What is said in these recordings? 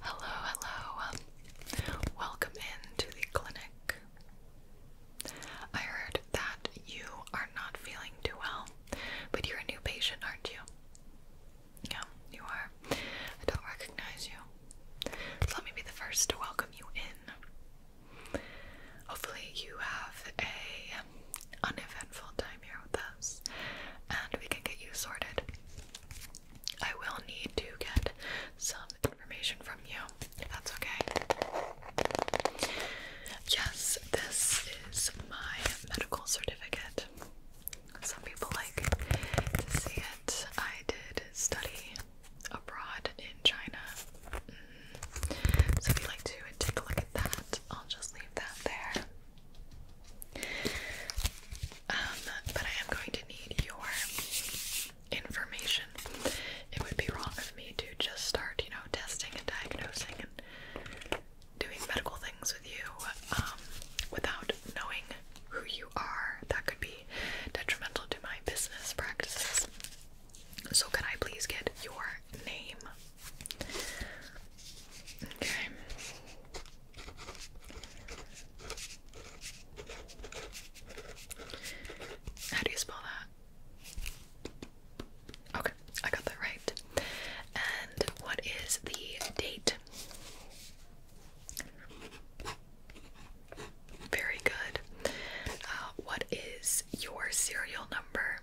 Hello, hello. Welcome into the clinic. I heard that you are not feeling too well, but you're a new patient, aren't you? Yeah, you are. I don't recognize you. let me be the first to welcome you in. Hopefully you have a uneventful time here with us and we can get you sorted. I will need to get some information from you. If that's okay. Yes, this is my medical certificate. Some people like to see it. I did study abroad in China. Mm. So if you like to take a look at that, I'll just leave that there. Um, but I am going to need your information. It would be wrong of me to just start, you know, testing and diagnosing and doing medical things with you um, without knowing who you are. That could be detrimental to my business practices. So, can I please get your name? Okay. How do you spell that? Okay, I got that right. And what is the date? Very good. Uh, what is your serial number?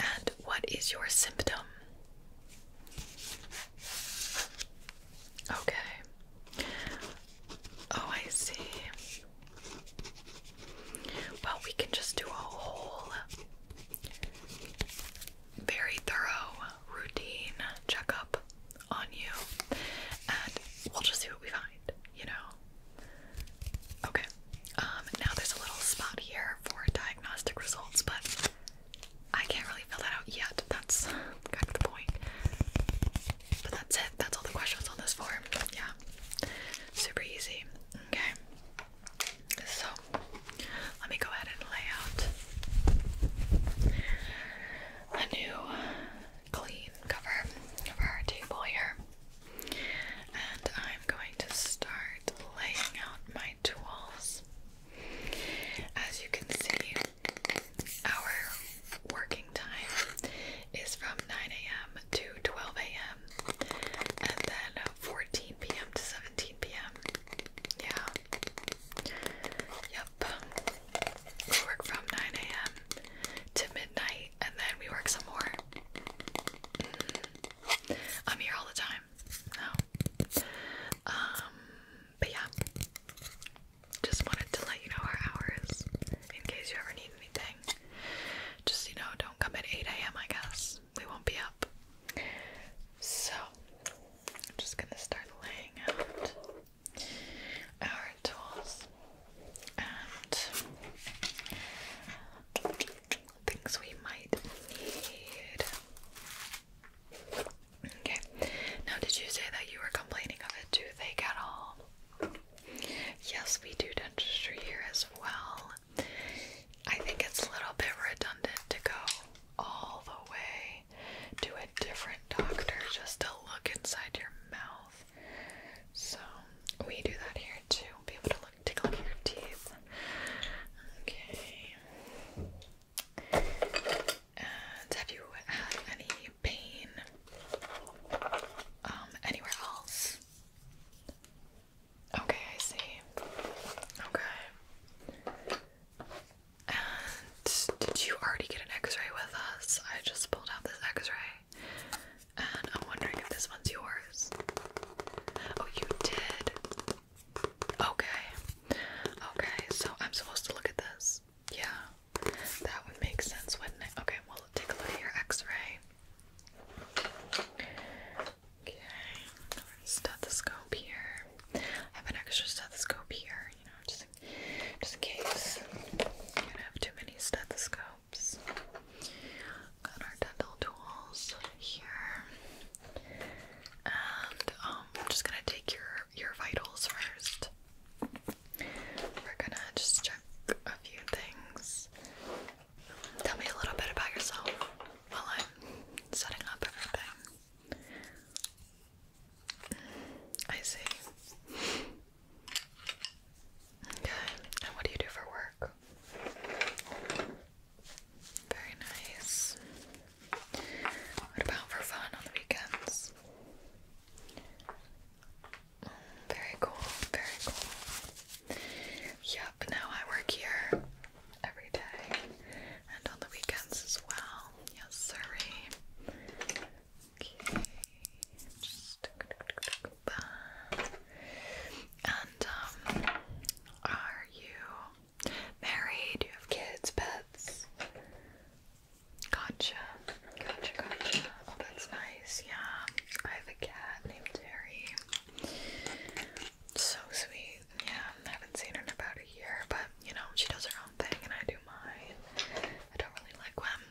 And what is your symptom? Okay. Oh, I see. Well, we can just do a whole very thorough routine checkup on you, and we'll just see what we find, you know? Okay. Um, now there's a little spot here for diagnostic results, but I can't really fill that out yet. That's kind of the point. But that's it. That's all the questions on this form. Yeah. Super easy. Okay. So let me go ahead and lay out a new clean cover of our table here. And I'm going to start laying out my tools. As you can see, our working time is from 9 a.m. to 12 a.m. and then 14 p.m. to 17 p.m. Yeah. Yep. We work from 9 a.m. to midnight and then we work some more. Mm. I'm here all the time. No. Um, but yeah. Just wanted to let you know our hours in case you ever need anything. Just, you know, don't come at 8 a.m., I guess. We won't be up. So, I'm just gonna start laying out our tools and things we might need. Okay, now did you say that you were complaining of a toothache at all? Yes, we do dentistry here as well. I think it's a little bit redundant to go all the way to a different doctor just to look inside your mouth. So we do that here too. Be able to look, take a look at your teeth. Okay. And have you had any pain um, anywhere else? Okay, I see. Okay. And did you already get an x ray with us? I just pulled out this x ray. And I'm wondering if this one's yours. Oh, you did. Okay. Okay, so I'm supposed to look at this. Yeah. That would make sense, wouldn't it? Okay, We'll take a look at your x ray. Okay. Stethoscope here. I have an extra stethoscope here, you know, just in, just in case you don't have too many stethoscopes. Got our dental tools here. And um, I'm just gonna take your your vitals first. We're gonna just check a few things. Tell me a little bit about yourself while I'm setting up everything. I see. Okay, and what do you do for work? Very nice. What about for fun on the weekends? Mm, very cool, very cool. Yep, now I work here every day and on the weekends as well. Yes, sorry. Okay, just and um, are you married? Do you have kids, pets? Gotcha, gotcha, gotcha. Oh, that's nice. Yeah, I have a cat named Terry. So sweet. Yeah, I haven't seen her in about a year, but you know she does her own thing and I do mine. I don't really like when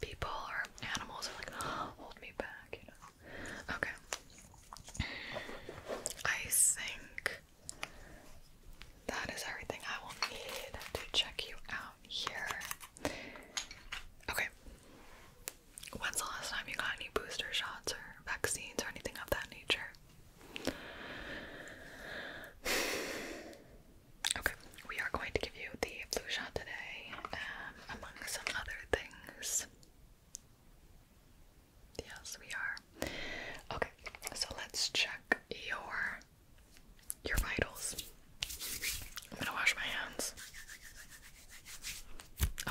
people or animals are like, oh, hold me back, you know. Okay. I think that is everything I will need to check you out here. Okay. When's the last time you got any booster shots or vaccines or anything of that nature? Okay, we are going to give you the flu shot today, um, among some other things. Yes, we are. Okay, so let's check your your vitals. I'm gonna wash my hands.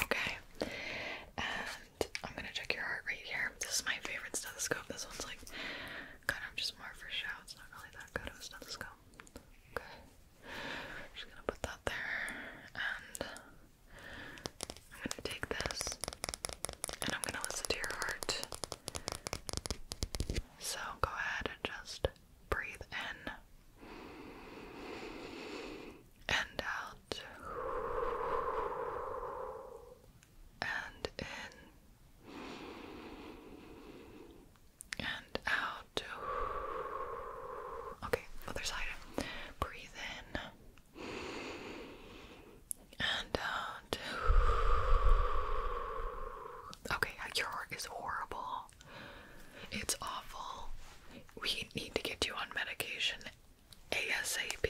Okay, and I'm gonna check your heart rate here. This is my favorite stethoscope. This one's like kind of just more for show. It's not really that good of a stethoscope. Okay. I'm just gonna put that there, and I'm gonna take this, and I'm gonna listen to your heart. So go ahead and just breathe in and out and in and out Okay, other side. Breathe in and uh, Okay, your heart is horrible. It's awful. We need to get you on medication ASAP.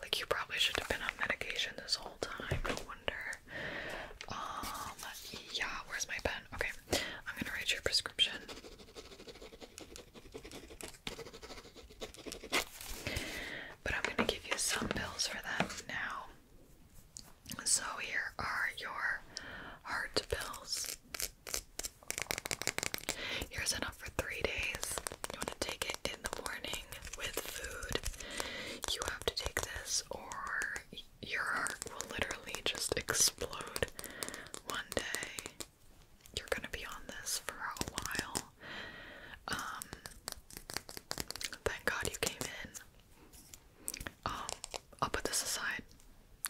Like, you probably should have been on medication this whole time. No wonder. Um, yeah, where's my pen? Okay, I'm gonna write your prescription. But I'm gonna give you some pills for that now. So here are your heart pills. Here's enough for three days. You want to take it in the morning with food. You have to take this, or your heart will literally just explode one day. You're gonna be on this for a while. Um, thank God you came in. Um, I'll put this aside.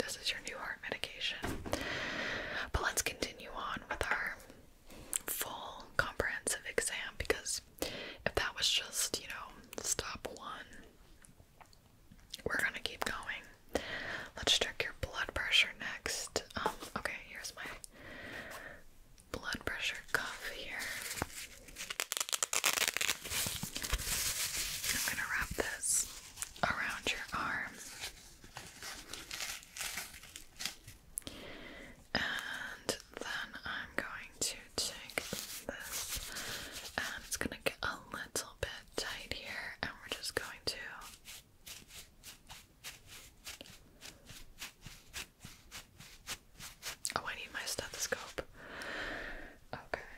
This is your new heart medication. But let's continue on with our full comprehensive exam because if that was just, you know, stop one, we're gonna keep going. Let's check your blood pressure next. Um, okay, here's my blood pressure cuff here. I'm gonna wrap this around your arm. And then I'm going to take this and it's going to get a little bit tight here and we're just going to Oh, I need my stethoscope. Okay.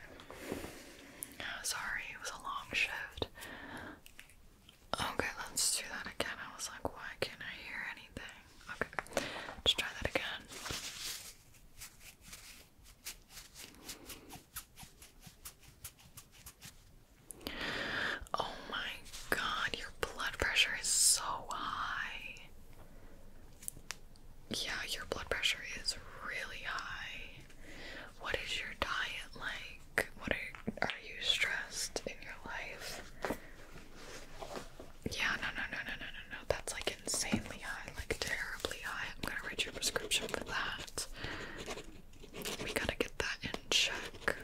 sorry, it was a long shift. Okay, let's do that again. I was like, why can't I hear anything? Okay, let try that again. Oh my god, your blood pressure is so high. Yeah, your blood pressure is really high. What is your diet like? What are are you stressed in your life? Yeah, no, no, no, no, no, no, no. That's like insanely high, like terribly high. I'm gonna write your prescription for that. We gotta get that in check.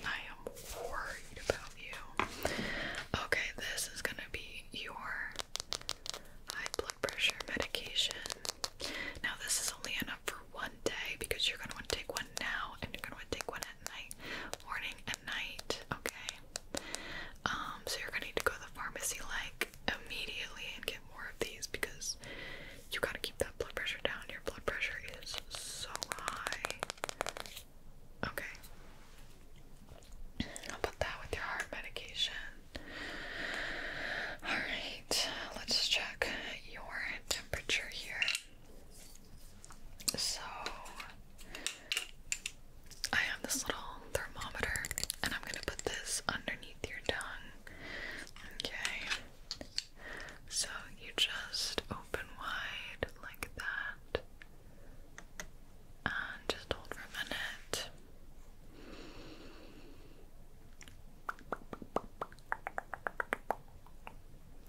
I am worried about you. Okay, this is gonna be your high blood pressure medication. Now, this is only enough for one day because you're gonna want to take one now and you're gonna want to take one at night, morning and night. Okay, um, so you're gonna need to go to the pharmacy like immediately and get more of these because you gotta keep that blood pressure down. Your blood pressure is so high. Okay. I'll put that with your heart medication. Alright, let's check your temperature here. So, I have this little thermometer, and I'm gonna put this underneath your tongue. Okay. So you just open wide like that, and just hold for a minute.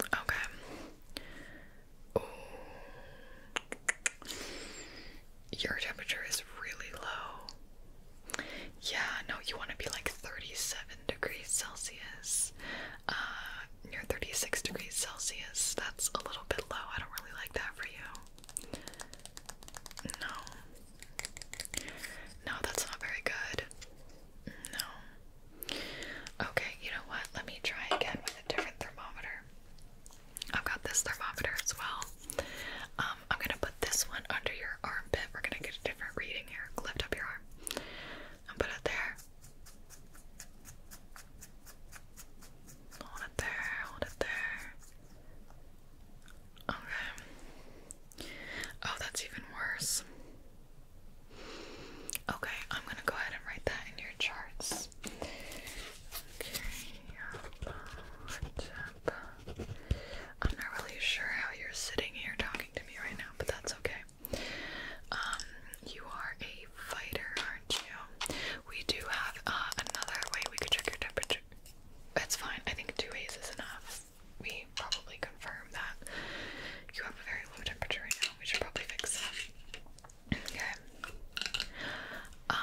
Okay. Ooh. Your temperature is really low. Yeah, no, you want to be like 37 degrees Celsius. Uh, you're 36 degrees Celsius. That's a little bit low. I don't really like that for you. No. No, that's not very good. No. Okay, you know what? Let me try again with a different thermometer. I've got this thermometer as well. Um, I'm gonna put this one under your armpit. We're gonna get a different reading here. Lift up your arm and put it there. Hold it there, hold it there. Okay. Oh, that's even worse. Okay, I'm gonna go ahead and write that in your charts. Okay, up. I'm not really sure how you're sitting here talking to me right now, but that's okay. Um, you are a fighter, aren't you? We do have uh, another way we could check your temperature. That's fine. I think two ways is enough. We probably confirm that you have a very low temperature right now. We should probably fix that. Okay. Um,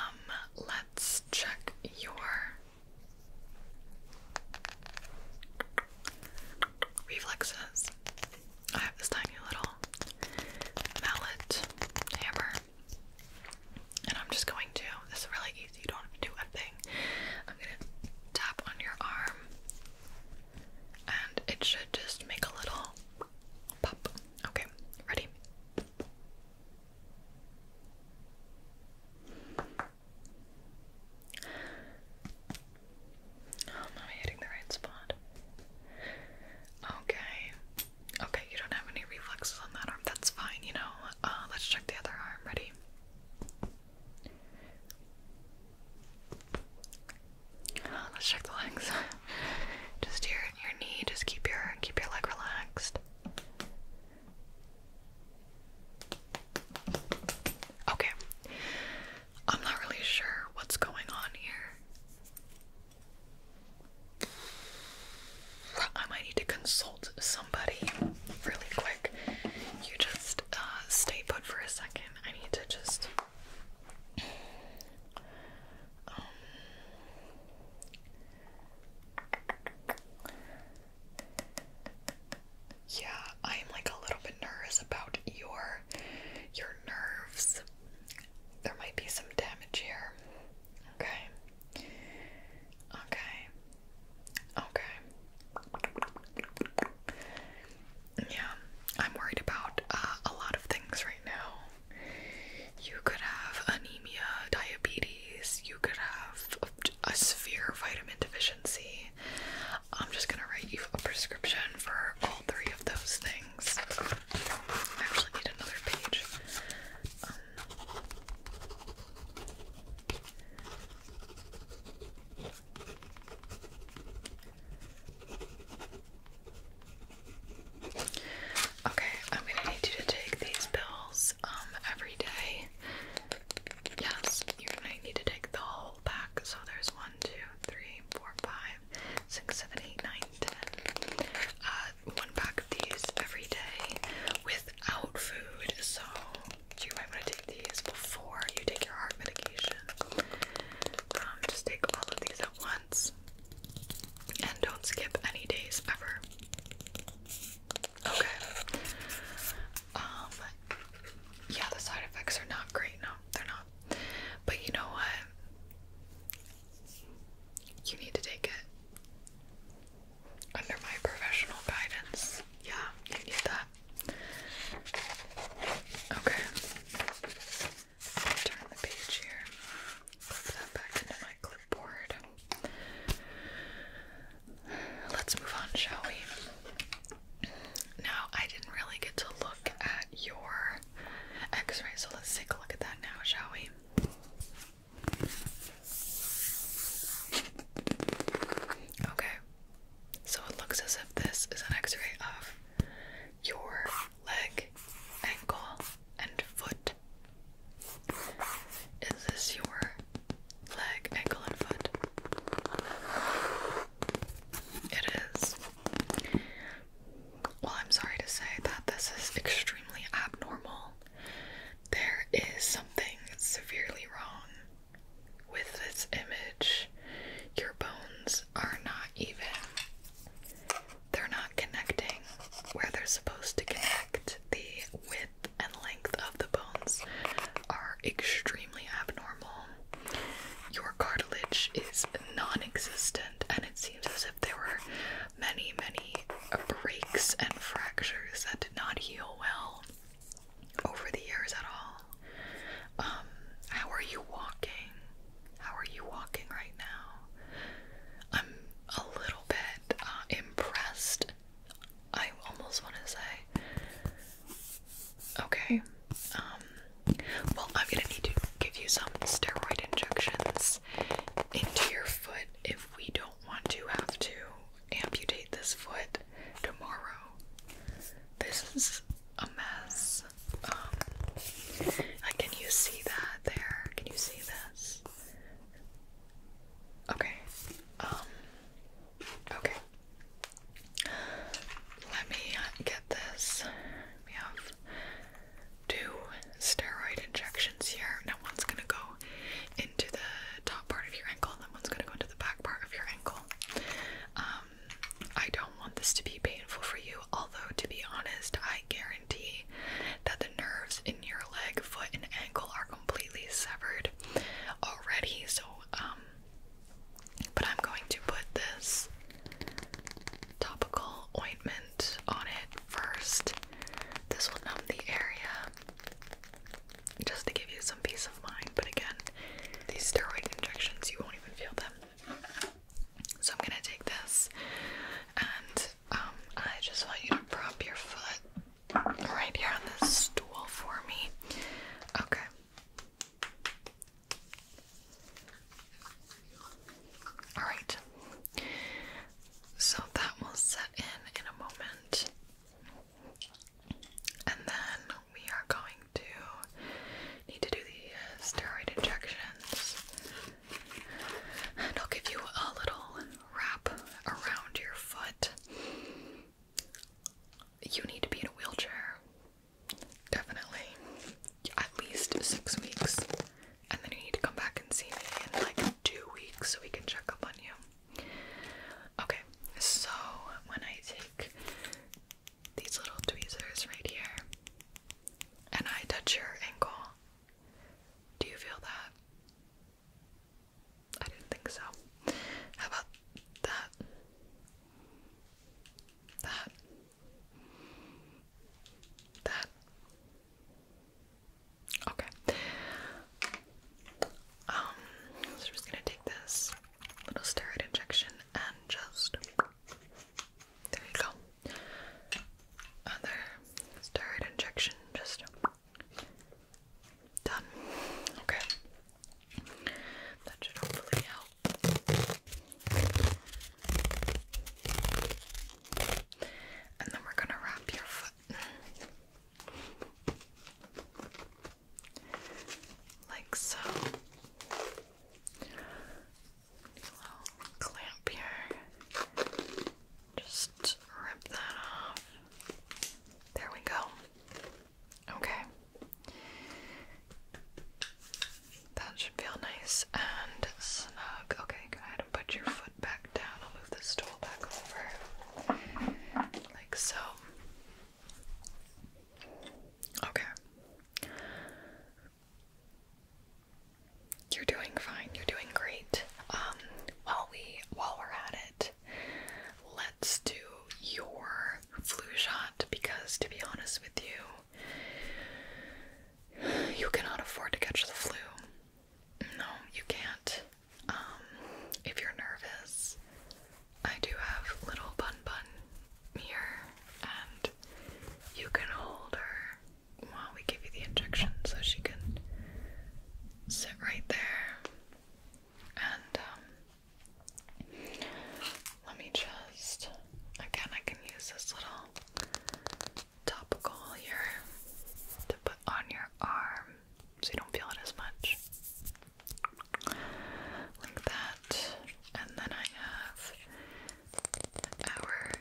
let's check your reflexes. I have this tiny little mallet hammer. And I'm just going to, this is really easy, you don't have to do a thing. I'm gonna tap on your arm and it should just make a little Pop. Okay, ready? am oh, I hitting the right spot? Okay. Okay, you don't have any reflexes on that arm. That's fine, you know. Uh, let's check the other arm. Ready? Oh, let's check the legs. just your your knee. Just keep your keep your leg relaxed. Okay. I'm not really sure what's going on here. I might need to consult somebody really quick. You just uh, stay put for a second. I need to just yeah, I'm like a little bit nervous about your your nerves. There might be some damage here. Okay. Okay. Okay. Yeah, I'm worried about uh, a lot of things right now. You could have anemia, diabetes, you could have a severe vitamin deficiency. I'm just gonna write you a prescription for all three of those things. I actually need another page. Um, Okay, I'm gonna need you to take these pills um, every day. Yes, you're gonna need to take the whole pack. So there's one, two, three, four, five, six, seven, eight, nine, ten. Uh, one pack of these every day without food. So you might want to take these before you take your heart medication. Um, just take all of these at once. And don't skip any days ever. Okay. Um, yeah, the side effects are not great. No, they're not. But you know what? You need to take it under my professional guidance. Yeah, you need that. Okay turn the page here. Clip that back into my clipboard. Let's move on, shall we? Now, I didn't really get to look at your x ray, so let's take a look at that now, shall we? Okay, so it looks as if this is an x ray of your leg, ankle, and foot. Is this your leg, ankle, and foot? It is. Well, I'm sorry to say that this is extremely abnormal. There is something severely wrong with this image. Your bones are not even they're not connecting where they're supposed to connect. The width and length of the bones are extremely abnormal. Your cartilage is non existent, and it seems as if there were many, many breaks and fractures that did not heal well over the years at all. Um, how are you walking? How are you walking right now? I'm a little bit uh, impressed. I almost want to say, okay, um, well, I'm gonna need to give you some steroid injections into your foot if we don't want to have to amputate this foot tomorrow. This is a mess like, um, can you see that there? Can you see this? Okay. Um, okay. Let me get this. We have two steroid injections here. Now one's gonna go into the top part of your ankle, and then one's gonna go into the back part of your ankle. Um, I don't want this to be painful for you, although, to be honest, I guarantee that the nerves in your leg, foot, and ankle are completely severed already. So, um, but I'm going to put this topical ointment on it first. This will numb the area just to give you some peace of mind. But again, these steroid injections, you won't even feel them. So I'm gonna take this and um, I just want you to prop your foot right here on this stool for me. Okay. Alright. So that will set in in a moment. And then we are going to need to do the uh, steroid injections. And I'll give you a little wrap around your foot. You need to be in a wheelchair. Definitely. At least six weeks. And then you need to come back and see me in like two weeks so we can check up on you. Okay, so when I take these little tweezers right here, and I touch your ankle. Do you feel that? I didn't think so. How about that? That. That. Okay. Um, so i just gonna take this little steroid injection and just there you go. Other steroid injection just done. Okay. That should hopefully help. And then we're gonna wrap your foot like so clamp here. Just rip that off. There we go. Okay. That should feel nice and snug. Okay, go ahead and put your foot back down. I'll move the stool back over. Like so. Okay. You're doing fine. You're doing great. Um, while we while we're at it, let's do your flu shot because to be honest with you, you cannot afford to catch the flu. No, you can't. Um, if you're nervous, I do have little bun bun here, and you can hold her while we give you the injection so she can sit right there. And um, let me just, again, I can use this little topical here to put on your arm so you don't feel it as much. Like that. And then I have our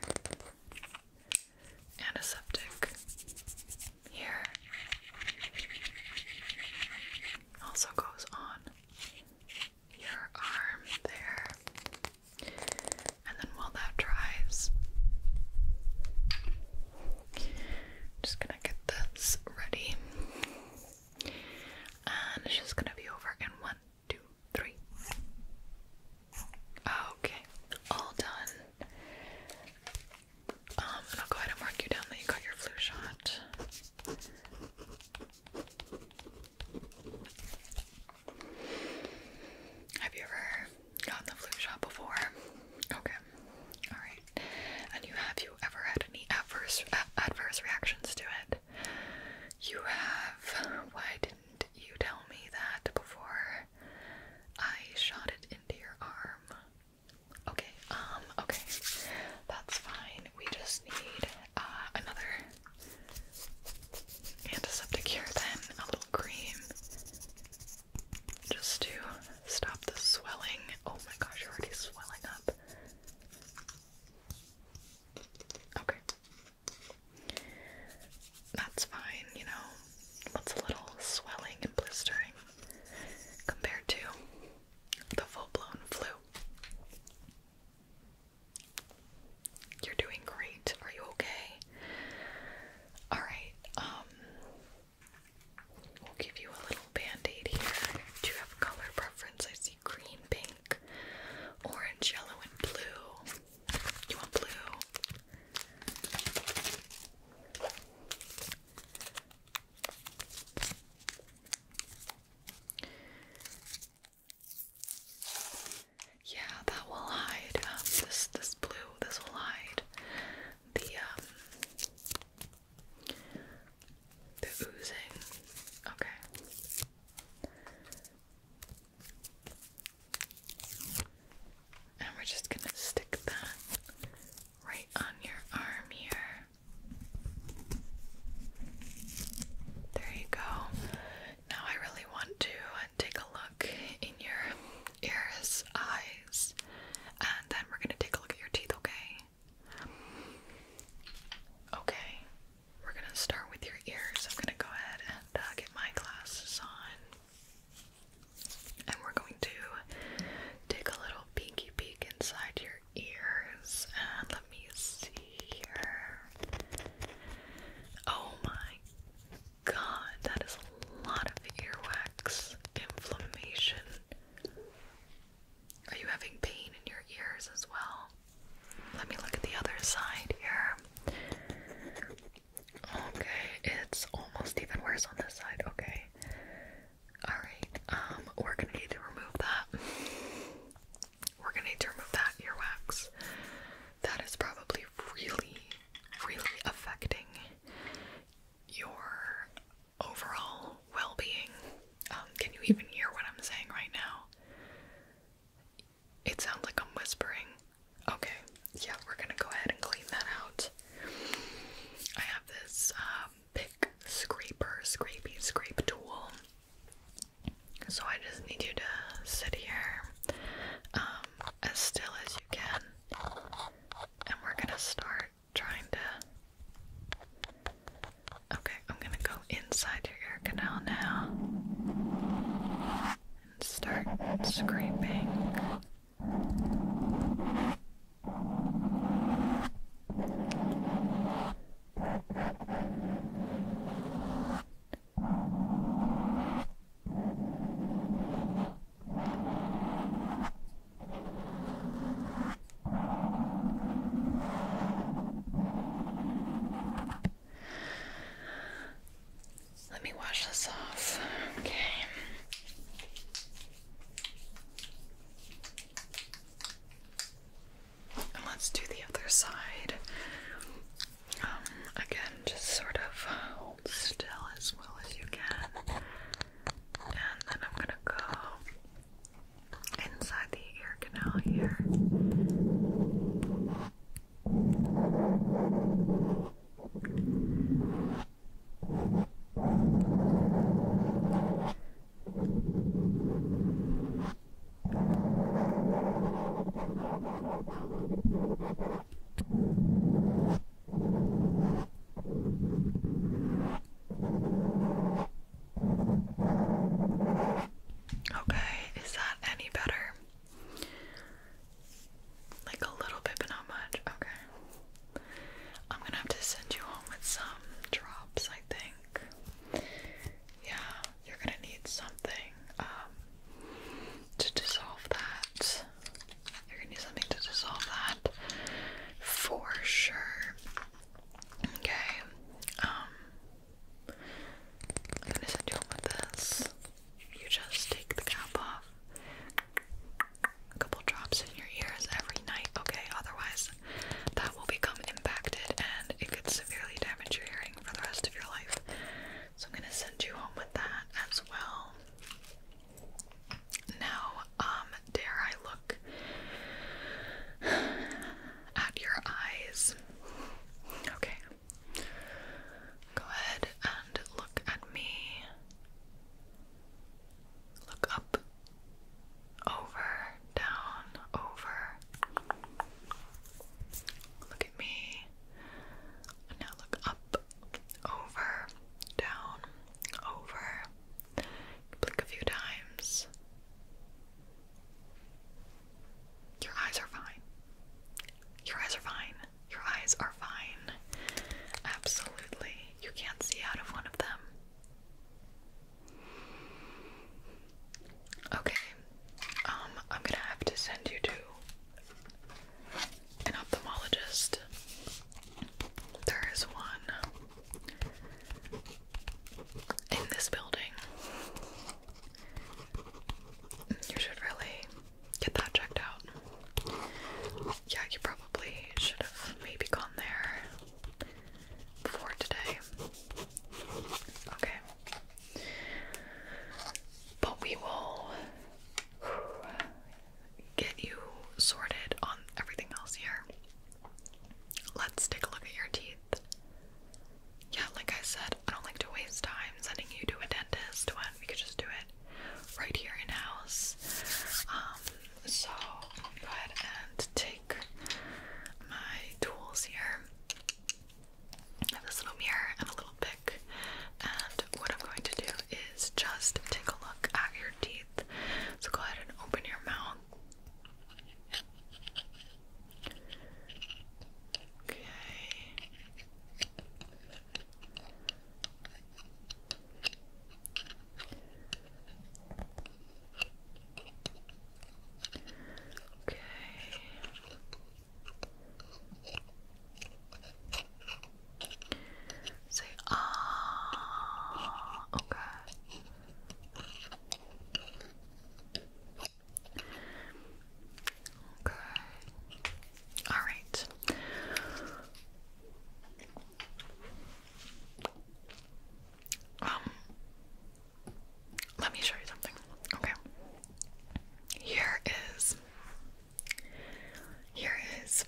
antiseptic here also goes on your arm there. And then while that dries, just gonna get this ready. And it's just gonna be over in one two, three. Okay, all done. Um, I'll go ahead and mark you down that you got your flu shot. Have you ever gotten the flu shot before? Okay, all right. And you have you ever had any adverse adverse reactions to it? you have. Why didn't you tell me that before I shot it into your arm? Okay, um, okay. That's fine. We just need uh, another antiseptic here, then a little cream just to stop the swelling. Oh my gosh, you're already swelling up. Okay. That's fine, you know. What's a little swelling and blistering compared to the full blown flu? You're doing great. Are you okay? Alright, um, we'll give you a little band aid here. Do you have color preference? I see green, pink, orange, yellow, and blue. You want blue? Yeah, that will hide. Um, this this blue, this will hide the um, the oozing. Okay. And we're just going to stick that right on your arm here. There you go. Now I really want to take a look in your ears, eyes, and then we're going to take a look at your teeth, okay? Okay. We're gonna start with your ears. I'm gonna go ahead and uh, get my glasses on, and we're going to take a little peeky peek inside your ears. And let me see here. Oh my god, that is a lot of earwax inflammation. Are you having pain in your ears as well? Let me look at the other side here. Okay, it's almost even worse on this side. Okay. Alright, um, we're gonna need to remove that. We're gonna need to remove that earwax. That is probably really, really affecting your overall well being. Um, can you even hear what I'm saying right now? It sounds like I'm whispering. Okay, yeah, we're gonna go ahead and clean that out. I have this um, scraper, scrapey, scrape tool. So I just need you to sit here um, as still as you can, and we're gonna start trying to Okay, I'm gonna go inside your ear canal now and start scraping. Let me wash this off. Okay. And let's do the other side. Um, again, just sort of still as well as you can. And then I'm gonna go inside the ear canal here. Okay, is that any better? Like a little bit, but not much. Okay. I'm gonna have to send you home with some drops, I think. Yeah, you're gonna need something um, to dissolve that. You're gonna need something to dissolve that for sure. Okay. Um, I'm gonna send you home with this. You just take the cap off. A couple drops in your ears every night, okay? Otherwise, that will become impacted and it could severely damage your hearing for the rest of your life. So, I'm gonna send you home with that as well. Now, um, dare I look at your eyes. Okay. Go ahead and look at me. Look up, over, down, over. Look at me. And now look up, over, down, over. Blink a few times. Your eyes are fine. Your eyes are fine. Your eyes are fine. Absolutely. You can't see out of one of them. Okay. Um, I'm gonna have to send you to an ophthalmologist. There is one in this building. You should really get that checked out. Yeah, you probably should have maybe gone there before today. Okay. But we will get you sorted on everything else here. Let's take a look at your teeth. Yeah, like I said, I don't like to waste time sending you to a dentist when we could just do it right here in house. Um, so go ahead and take my tools here. I have this little mirror and a little pick, and what I'm going to do is just take a look at your teeth. So go ahead and open your mouth. Okay. Okay. Say ah. Okay. Okay. All right. Um let me show you something. Okay. Here is here is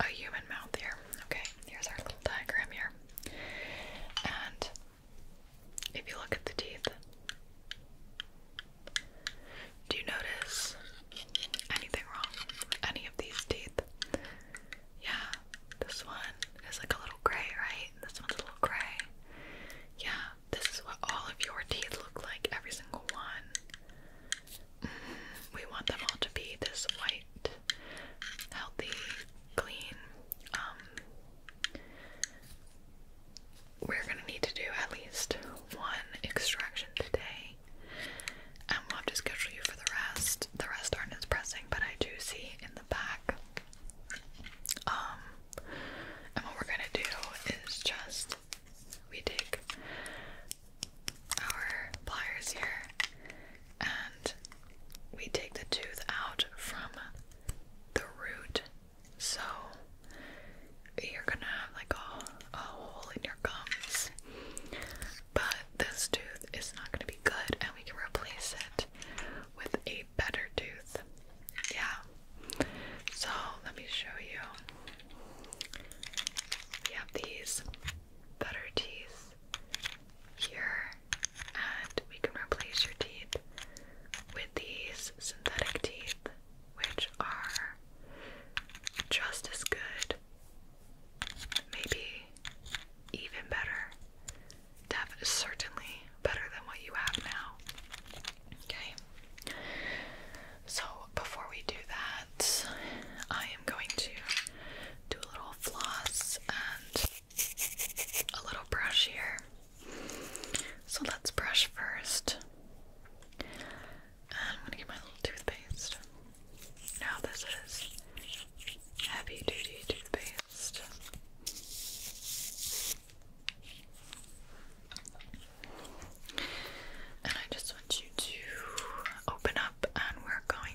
a human mouth here. Okay, here's our little diagram here. And if you look at the teeth, do you notice anything wrong with any of these teeth? Yeah, this one is like a little gray, right? This one's a little gray. Yeah, this is what all of your teeth look like, every single one. Mm-hmm. we want them all to be this white, healthy, clean, um, we're gonna need to do at least one extraction today, and we'll have to schedule you for the rest. The rest aren't as pressing, but I do see in the back. Um, and what we're gonna do is just we take our pliers here and we take the tooth out from the root. So you're gonna have like a, a hole in your gums. But this tooth is not gonna be good, and we can replace it with a better tooth. Yeah. So let me show you. We have these better teeth here, and we can replace your teeth with these synthetic teeth, which are just as good, maybe even better, Def certainly better than what you have now. Okay, so before we do that, I am going to do a little floss and a little brush here. So let's brush first. Uh, I'm gonna get my little toothpaste. Now, this is heavy duty toothpaste. And I just want you to open up, and we're going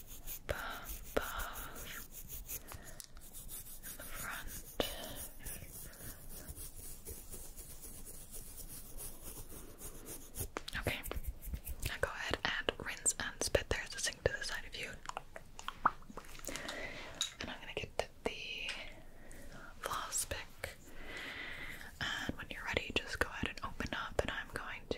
above, the front. Okay, go ahead and rinse and spit. There's a sink to the side of you. And I'm gonna get the floss pick. And when you're ready, just go ahead and open up, and I'm going to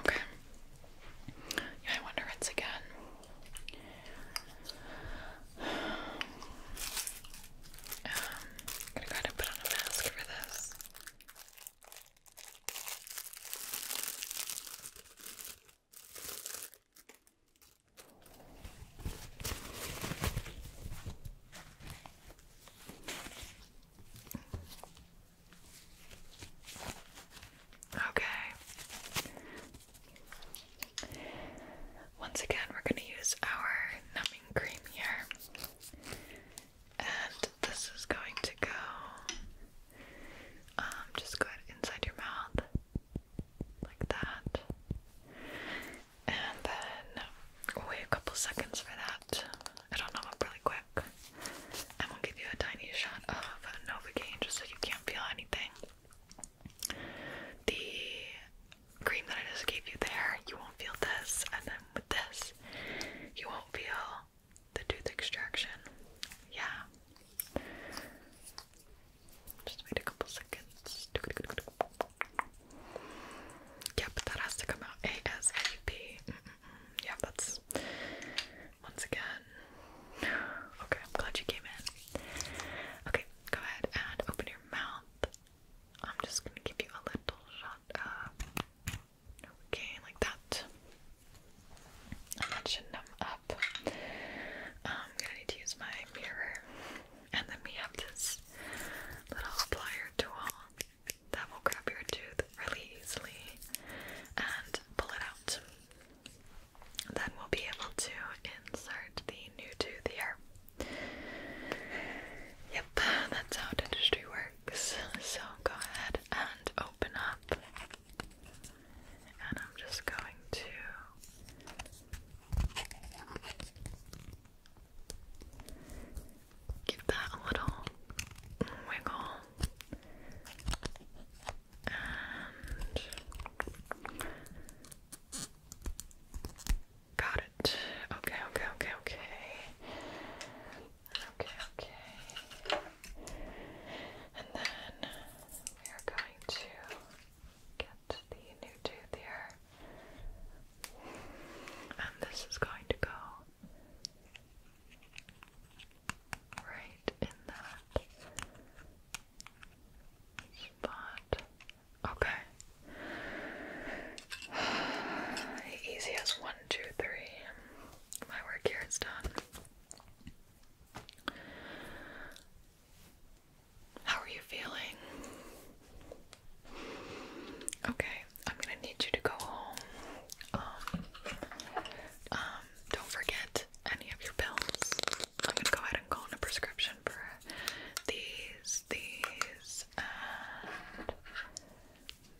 Okay. Yeah, I wonder it's again. Um, gonna go ahead and put on a mask for this. Okay. Once again, we're going to use our numbing cream here. And this is going to go um just go inside your mouth like that and then wait a couple seconds for that. I don't know, really quick. I'm going give you a tiny shot of Novocaine just so you can't feel anything. The cream that I just gave you there, you won't feel this, and then this, you won't feel the tooth extraction. Yeah. Just wait a couple seconds. Yeah, but that has to come out ASAP. Yeah, that's once again. Okay, I'm glad you came in. Okay, go ahead and open your mouth. I'm just gonna give you a little shot Okay, like that. And that should numb up. Um, I'm gonna need to use my mirror. And then we have this little plier tool that will grab your tooth really easily and pull it out. Then we'll be able to insert the new tooth here. Yep, that's how dentistry works. So go ahead and open up. And I'm just going to Give that a little wiggle. And got it. Okay, okay, okay, okay. Okay, okay. And then we are going to get the new tooth here. And this is going to go right in that spot. Okay. Easy as one, two, three. My work here is done. How are you feeling? Okay, I'm gonna need you to go home. Um, um, don't forget any of your pills. I'm gonna go ahead and call in a prescription for these, these, and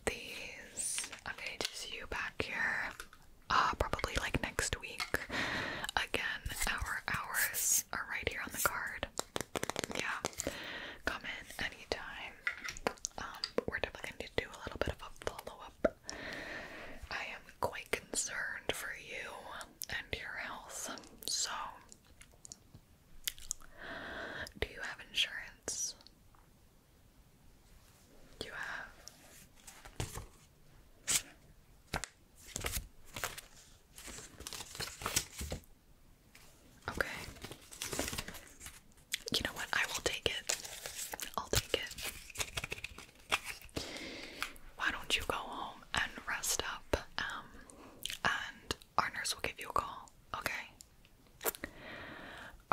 these. i see you back here, uh, probably like next week. Again, our hours are right here on the card. Yeah, come in anytime. Um, we're definitely going to do a little bit of a follow up. I am quite concerned for you and your health. So, do you have insurance? you have? Okay. You know what? I will take it. I'll take it. Why don't you go home and rest up? Um, and our nurse will give you a call. Okay.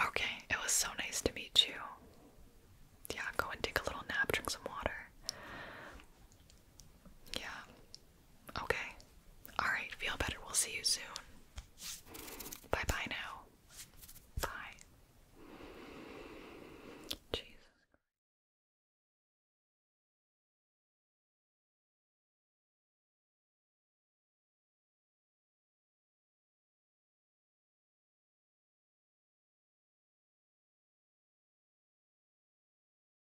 Okay. It was so nice to meet you. Yeah, go and take a little nap, drink some water. Yeah. Okay. Alright, feel better. We'll see you soon. Bye bye now. Bye. Jesus.